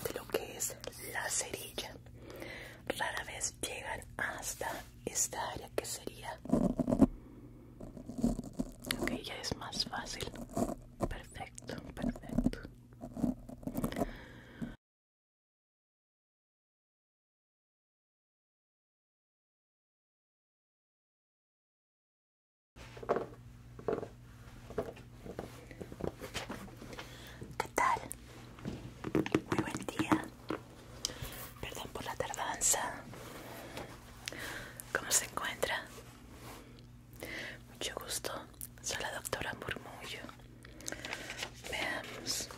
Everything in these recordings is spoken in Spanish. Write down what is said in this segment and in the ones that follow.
de lo que es la cerilla. Rara vez llegan hasta esta área que sería... Ok, ya es más fácil. Perfecto, perfecto. ¿Qué tal? Muy buen día. Perdón por la tardanza. ¿Cómo se encuentra? Mucho gusto. Soy la doctora Murmullo. Veamos.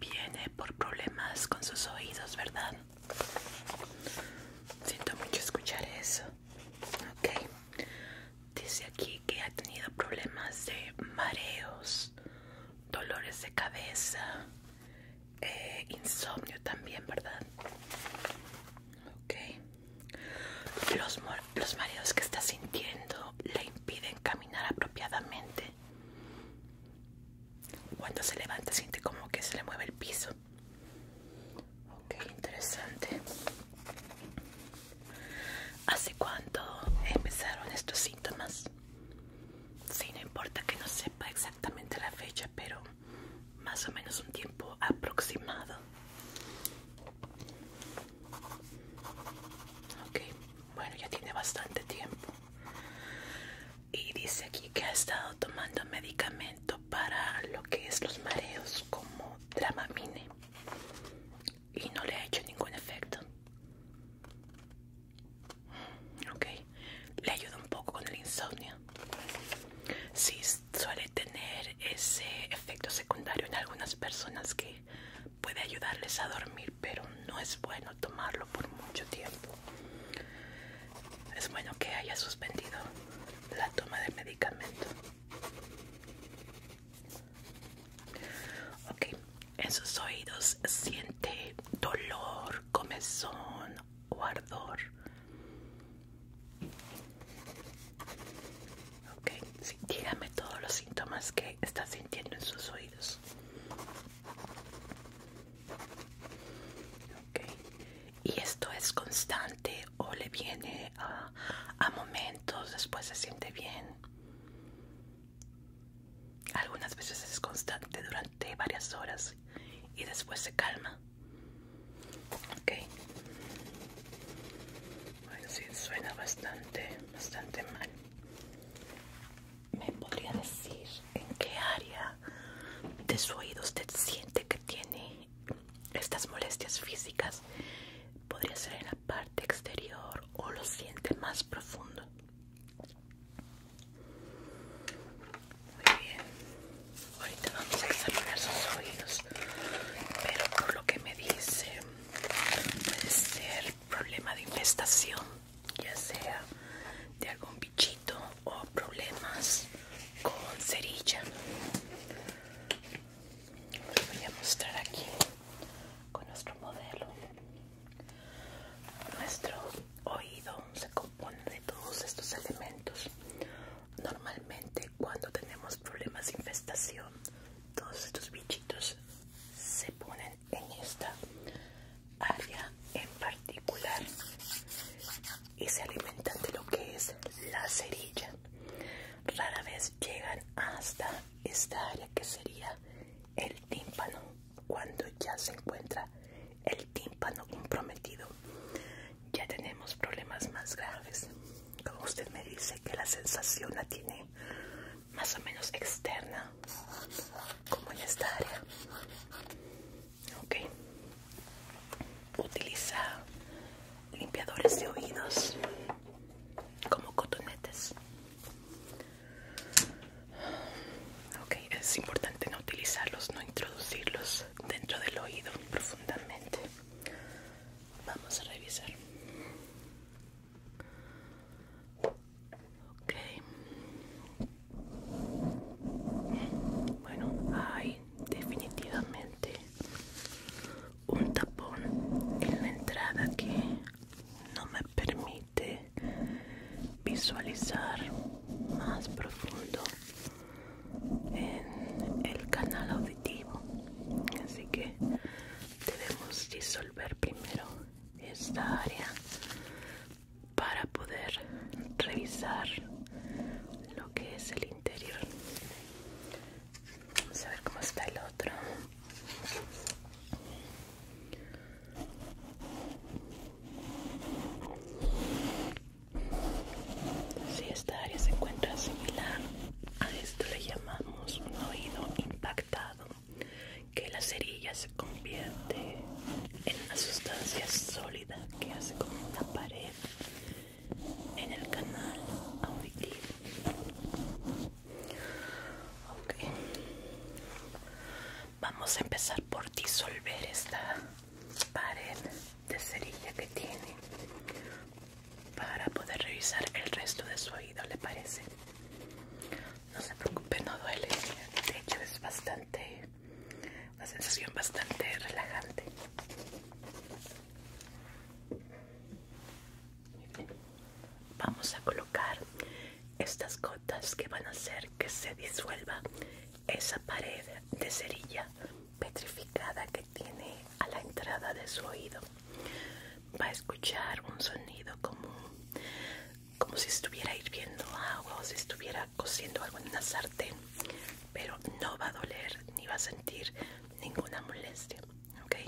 Viene por problemas con sus oídos, ¿verdad? Siento mucho escuchar eso ok dice aquí que ha tenido problemas de mareos dolores de cabeza e insomnio también verdad ok los mareos que está sintiendo le impiden caminar apropiadamente cuando se levanta siente como que se le mueve el piso Ok, interesante. ¿Hace cuánto empezaron estos síntomas? Sí, no importa que no sepa exactamente la fecha, pero más o menos un tiempo aproximado. Ok, bueno, ya tiene bastante tiempo. Y dice aquí que ha estado tomando medicamento para lo que es los mareos, como Dramamine y no le ha hecho ningún efecto. Ok, le ayuda un poco con el insomnio. Sí, suele tener ese efecto secundario en algunas personas que puede ayudarles a dormir, pero no es bueno tomarlo por mucho tiempo. Es bueno que haya suspendido la toma del medicamento. Ok, en sus oídos siente dolor, comezón o ardor. Ok, dígame todos los síntomas que está sintiendo en sus oídos. Ok, ¿y esto es constante o le viene a a momentos, después se siente bien. Algunas veces es constante durante varias horas y después se calma. Ok. Bueno, sí, suena bastante, bastante mal. ¿Me podría decir en qué área de su oído usted siente que tiene estas molestias físicas podría ser en la parte exterior o lo siente más profundo. Muy bien, ahorita vamos a examinar sus oídos, pero por lo que me dice puede ser problema de infestación, ya sea de algún bichito o problemas con cerilla voy a mostrar aquí con nuestro modelo. Nuestro oído se compone de todos estos elementos. Normalmente cuando tenemos problemas de infestación, todos estos bichitos se ponen en esta área en particular y se alimentan de lo que es la cerilla rara vez llegan hasta esta área que sería el tímpano cuando ya se encuentra el tímpano comprometido ya tenemos problemas más graves como usted me dice que la sensación la tiene más o menos externa como en esta área ok utiliza limpiadores de oídos como cotonetes ok es importante no utilizarlos no introducirlos dentro del oído profundamente vamos a revisar ok bueno hay definitivamente un tapón en la entrada que no me permite visualizar más profundo en el canal auditivo así que debemos disolver primero esta área para poder revisar lo que es el interior Vamos a ver cómo está el otro. Si esta área se encuentra similar a esto le llamamos un oído impactado, que la cerilla se convierte en una sustancia sólida que hace como una pared en el canal auditivo. Okay. Vamos a empezar por disolver esta pared de cerilla que tiene para poder revisar el resto de su oído, ¿le parece? No se preocupe, no duele. De hecho, es bastante una sensación bastante relajante. Vamos a colocar estas gotas que van a hacer que se disuelva esa pared de cerilla petrificada que tiene a la entrada de su oído. Va a escuchar un sonido como, como si estuviera hirviendo agua o si estuviera cociendo algo en una sartén, pero no va a doler ni va a sentir ninguna molestia.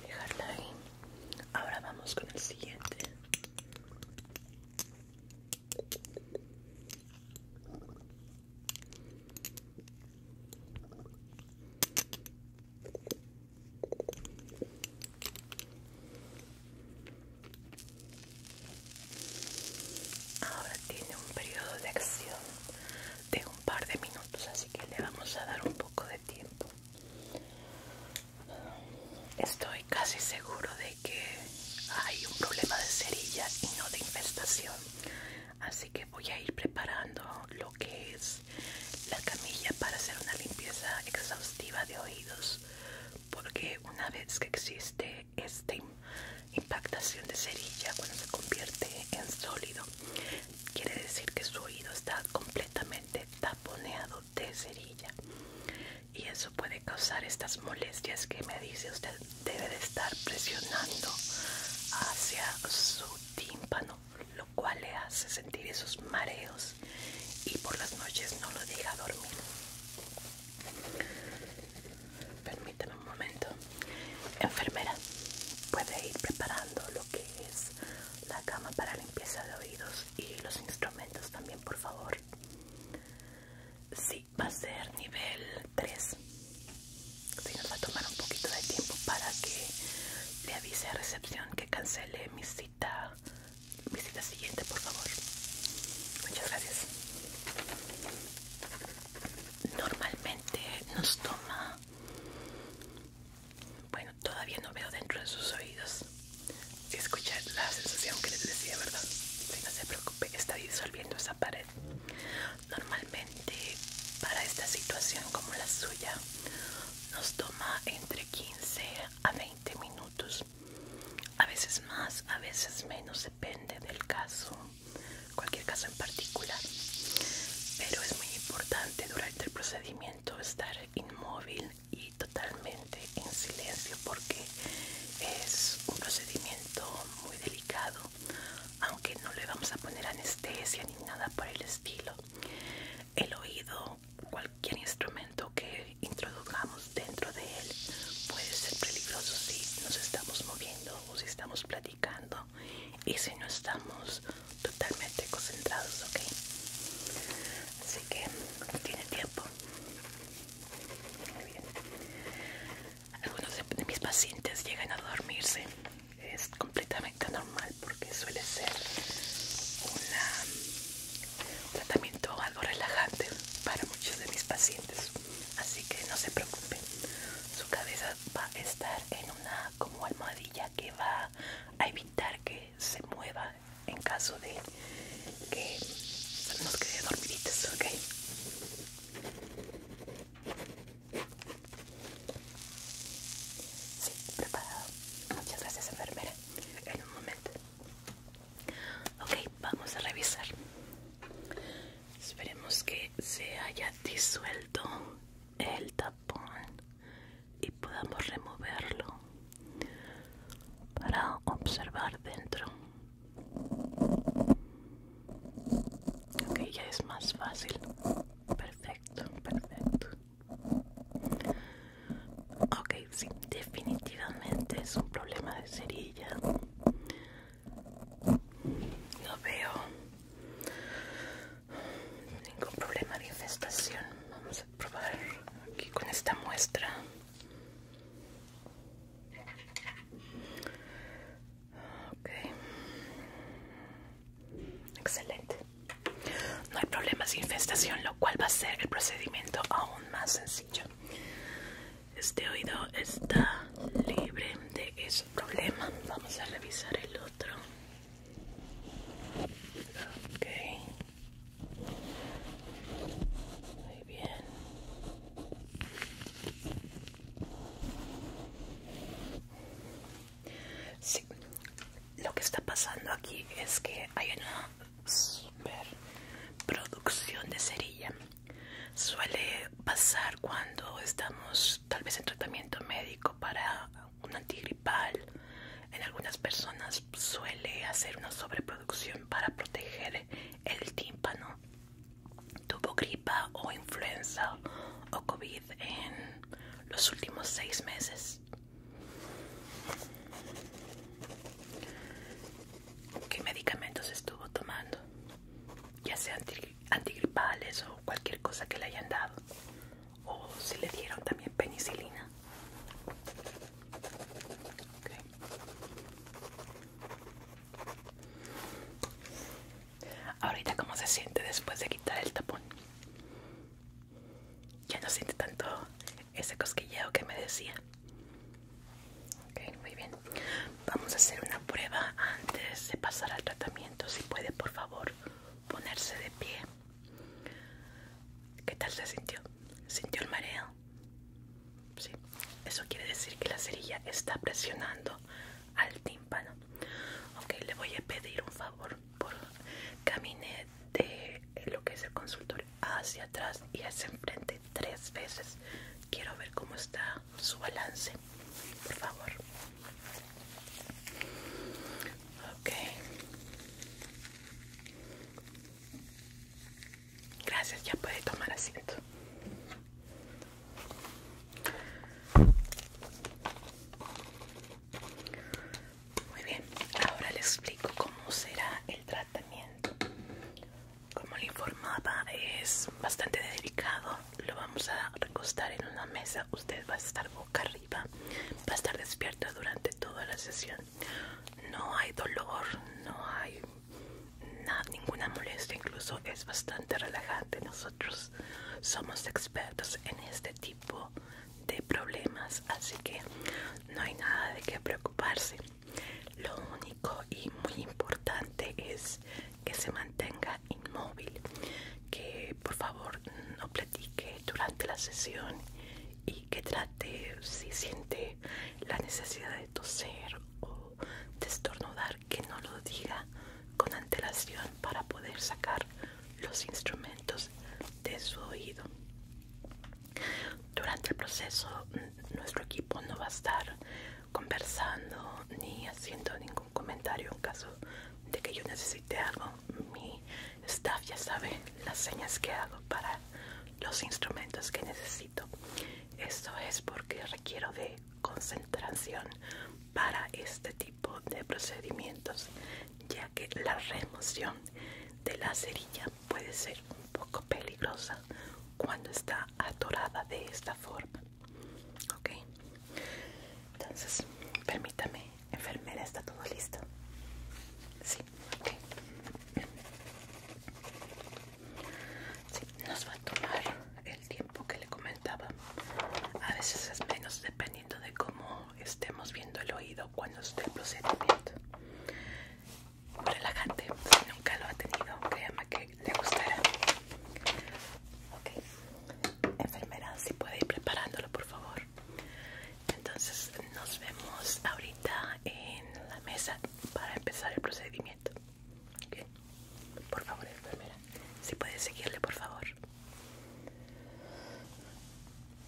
Dejarla ahí. Ahora vamos con el siguiente. Ahora tiene un periodo de acción de un par de minutos así que le vamos a dar un poco de tiempo estoy casi seguro de que hay un problema de cerilla y no de infestación así que voy a ir preparando lo que es la camilla para hacer una limpieza exhaustiva de oídos porque una vez que existe esta impactación de cerilla cuando se convierte en sólido Quiere decir que su oído está completamente taponeado de cerilla y eso puede causar estas molestias que me dice usted debe de estar presionando hacia su tímpano, lo cual le hace sentir esos mareos y por las noches no lo deja dormir un momento. Enfermera, puede ir preparando lo que es la cama para limpieza de oídos y los instrumentos también, por favor. si va a ser nivel 3. Sí, nos va a tomar un poquito de tiempo para que le avise a recepción que cancele mi cita, mi cita siguiente, por favor. Muchas gracias. Normalmente nos toma bueno, todavía no veo dentro de sus oídos. Si escuchar la sensación que les decía, ¿verdad? no se preocupe, está disolviendo esa pared. Normalmente, para esta situación como la suya, nos toma entre 15 a 20 minutos. A veces más, a veces menos, depende del caso cualquier caso en particular. Pero es muy importante durante el procedimiento estar inmóvil y totalmente en silencio porque es un procedimiento muy delicado, aunque no le vamos a poner anestesia ni nada por el estilo. El oído, cualquier instrumento que introduzcamos dentro de él puede ser peligroso si nos estamos moviendo o si estamos platicando y si no estamos totalmente concentrados, ok. Así que tiene tiempo. Algunos de mis pacientes llegan a dormirse. Es completamente normal porque suele ser un tratamiento algo relajante para muchos de mis pacientes. Así que no se preocupen. Su cabeza va a estar en una como almohadilla que va a evitar que se mueva en caso de que nos quede dormiditos, ¿ok? Sí, preparado. Muchas gracias, enfermera. En un momento. Ok, vamos a revisar. Esperemos que se haya disuelto el tapón y podamos removerlo para observar dentro. Ok, ya es más fácil. Perfecto, perfecto. Ok, sí, definitivamente es un problema de cerilla. Lo veo ningún problema de infestación. Vamos a probar aquí con esta muestra. Okay. Excelente. No hay problemas de infestación, lo cual va a ser el procedimiento aún más sencillo. Este oído está libre de ese problema. Vamos a revisar el otro. Sí. Lo que está pasando aquí es que hay una super producción de cerilla. Suele pasar cuando estamos pues, tal vez en tratamiento médico para un antigripal. En algunas personas suele hacer una sobreproducción para proteger el tímpano. Tuvo gripa o influenza o COVID en los últimos seis meses. ¿Qué medicamentos estuvo tomando? Ya sea antigripales o cualquier cosa que le hayan dado o si le dieron también penicilina ahorita cómo se siente después de quitar el tapón ya no siente tanto ese cosquilleo que me decía ok muy bien vamos a hacer una prueba antes de pasar al tratamiento si puede por favor ponerse de pie. ¿Qué tal se sintió? ¿Sintió el mareo? Sí. Eso quiere decir que la cerilla está presionando al tímpano. Ok, le voy a pedir un favor. Por camine de lo que es el consultor hacia atrás y hacia enfrente tres veces. Quiero ver cómo está su balance. Por favor. Ok. Gracias, ya puede tomar asiento. Muy bien, ahora le explico cómo será el tratamiento. Como le informaba, es bastante delicado lo vamos a recostar en una mesa. Usted va a estar boca arriba, va a estar despierto durante toda la sesión. No hay dolor, no hay ninguna molestia, incluso es bastante relajante. Nosotros somos expertos en este tipo de problemas, así que no hay nada de qué preocuparse. Lo único y muy importante es que se mantenga inmóvil, que por favor no platique durante la sesión y que trate, si siente la necesidad de toser o de estornudar, que no lo diga con antelación para poder sacar los instrumentos de su oído. Durante el proceso nuestro equipo no va a estar conversando ni haciendo ningún comentario en caso de que yo necesite algo. Mi staff ya sabe las señas que hago para los instrumentos que necesito. Esto es porque requiero de concentración para este tipo de procedimientos, ya que la remoción de la cerilla puede ser un poco peligrosa cuando está atorada de esta forma. Ok, entonces permítame, enfermera, está todo listo. Sí, ok. nos va a tomar el tiempo que le comentaba. A veces es menos dependiendo de cómo estemos viendo el oído cuando esté el procedimiento. Relajante, si nunca lo ha tenido, me que le gustará. Ok, enfermera si puede ir preparándolo por favor entonces nos vemos ahorita en la mesa para empezar el procedimiento por favor enfermera si puede seguirle por favor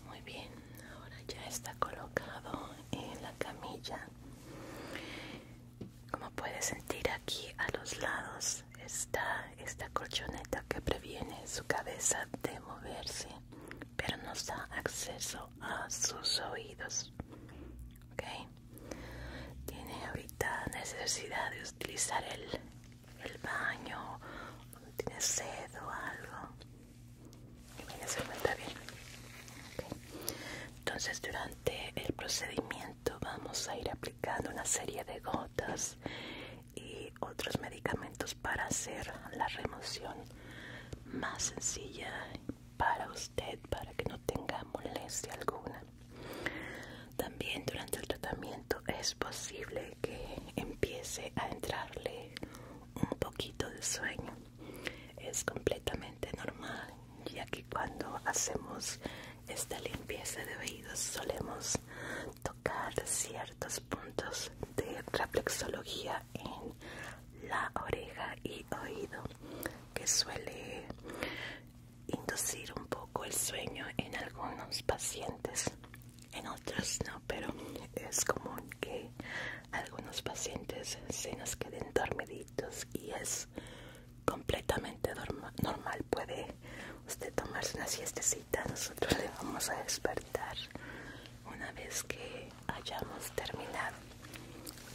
muy bien ahora ya está colocado en la camilla como puedes sentir aquí a los lados está esta colchoneta que previene su cabeza de moverse, pero nos da acceso a sus oídos. ¿Okay? Tiene ahorita necesidad de utilizar el, baño, tiene sed o algo. Y se bien. Entonces, durante el procedimiento, vamos a ir aplicando una serie de gotas y otros medicamentos para hacer la remoción más sencilla para usted para que no tenga molestia alguna también durante el tratamiento es posible que empiece a entrarle un poquito de sueño es completamente normal ya que cuando hacemos esta limpieza de oídos solemos tocar ciertos puntos de reflexología en la oreja y oído que suele inducir un poco el sueño en algunos pacientes en otros no pero es común que algunos pacientes se nos queden dormiditos y es completamente normal puede usted tomarse una siestecita nosotros le vamos a despertar una vez que hayamos terminado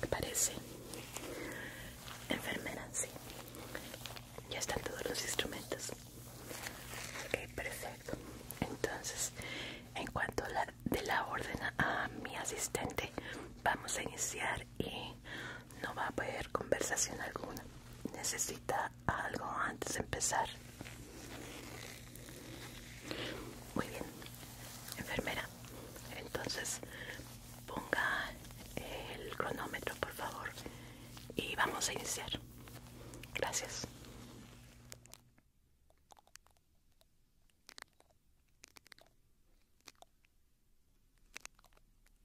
¿Qué parece? enfermera, sí ya están todos los instrumentos ok, perfecto entonces en cuanto a la, de la orden a mi asistente vamos a iniciar y no va a haber conversación alguna necesita algo antes de empezar. Muy bien, enfermera. Entonces, ponga el cronómetro, por favor, y vamos a iniciar. Gracias.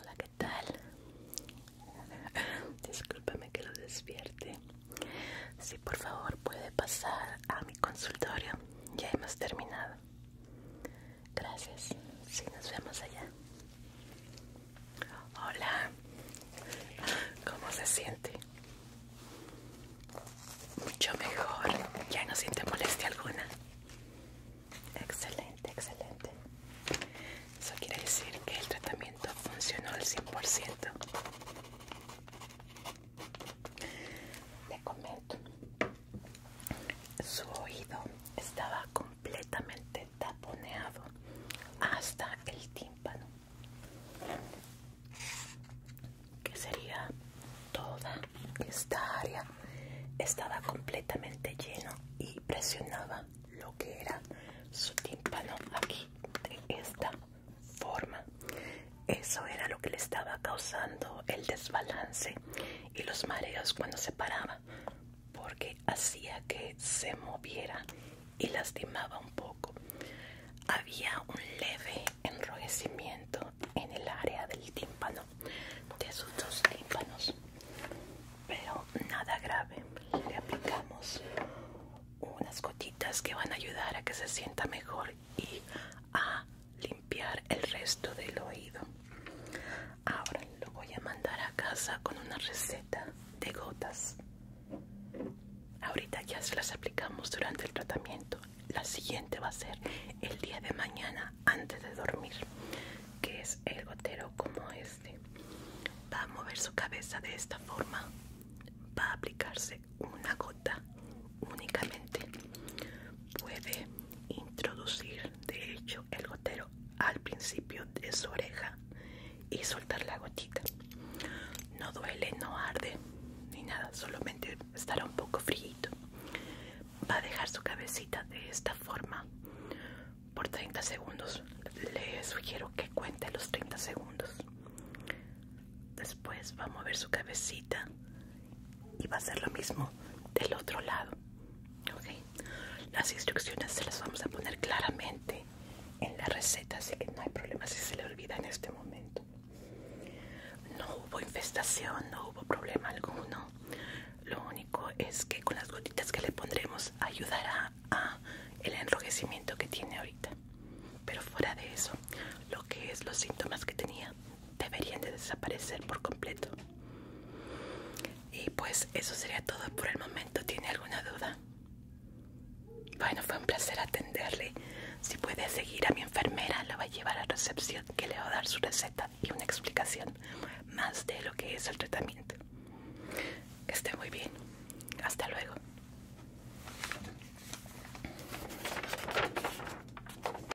Hola, ¿qué tal? Discúlpame que lo despierte. Si por favor puede pasar a mi consultorio, ya hemos terminado. Gracias. si nos vemos allá. Hola. ¿Cómo se siente? Mucho mejor. Ya no siente molestia alguna. Excelente, excelente. Eso quiere decir que el tratamiento funcionó al 100%. Te comento su oído estaba completamente taponeado hasta el tímpano, que sería toda esta área, estaba completamente lleno y presionaba lo que era su tímpano aquí de esta forma. Eso era lo que le estaba causando el desbalance y los mareos cuando se paraba porque hacía que se moviera y lastimaba un poco. Había un leve enrojecimiento en el área del tímpano, de sus dos tímpanos, pero nada grave. Le aplicamos unas gotitas que van a ayudar a que se sienta mejor y a limpiar el resto del oído. Ahora lo voy a mandar a casa con una receta de gotas. Ahorita ya se las aplicamos durante el tratamiento. La siguiente va a ser el día de mañana antes de dormir, que es el gotero como este. Va a mover su cabeza de esta forma. Va a aplicarse una gota únicamente puede introducir de hecho el gotero al principio de su oreja y soltar la gotita no duele no arde ni nada solamente estará un poco frío va a dejar su cabecita de esta forma por 30 segundos le sugiero que cuente los 30 segundos después va a mover su cabecita y va a ser lo mismo del otro lado las instrucciones se las vamos a poner claramente en la receta así que no hay problema si se le olvida en este momento no hubo infestación no hubo problema alguno lo único es que con las gotitas que le pondremos ayudará a el enrojecimiento que tiene ahorita pero fuera de eso lo que es los síntomas que tenía deberían de desaparecer por completo. Y pues eso sería todo por el momento. ¿Tiene alguna duda? Bueno, fue un placer atenderle. Si puede seguir a mi enfermera, la va a llevar a recepción que le va a dar su receta y una explicación más de lo que es el tratamiento. Que esté muy bien. Hasta luego.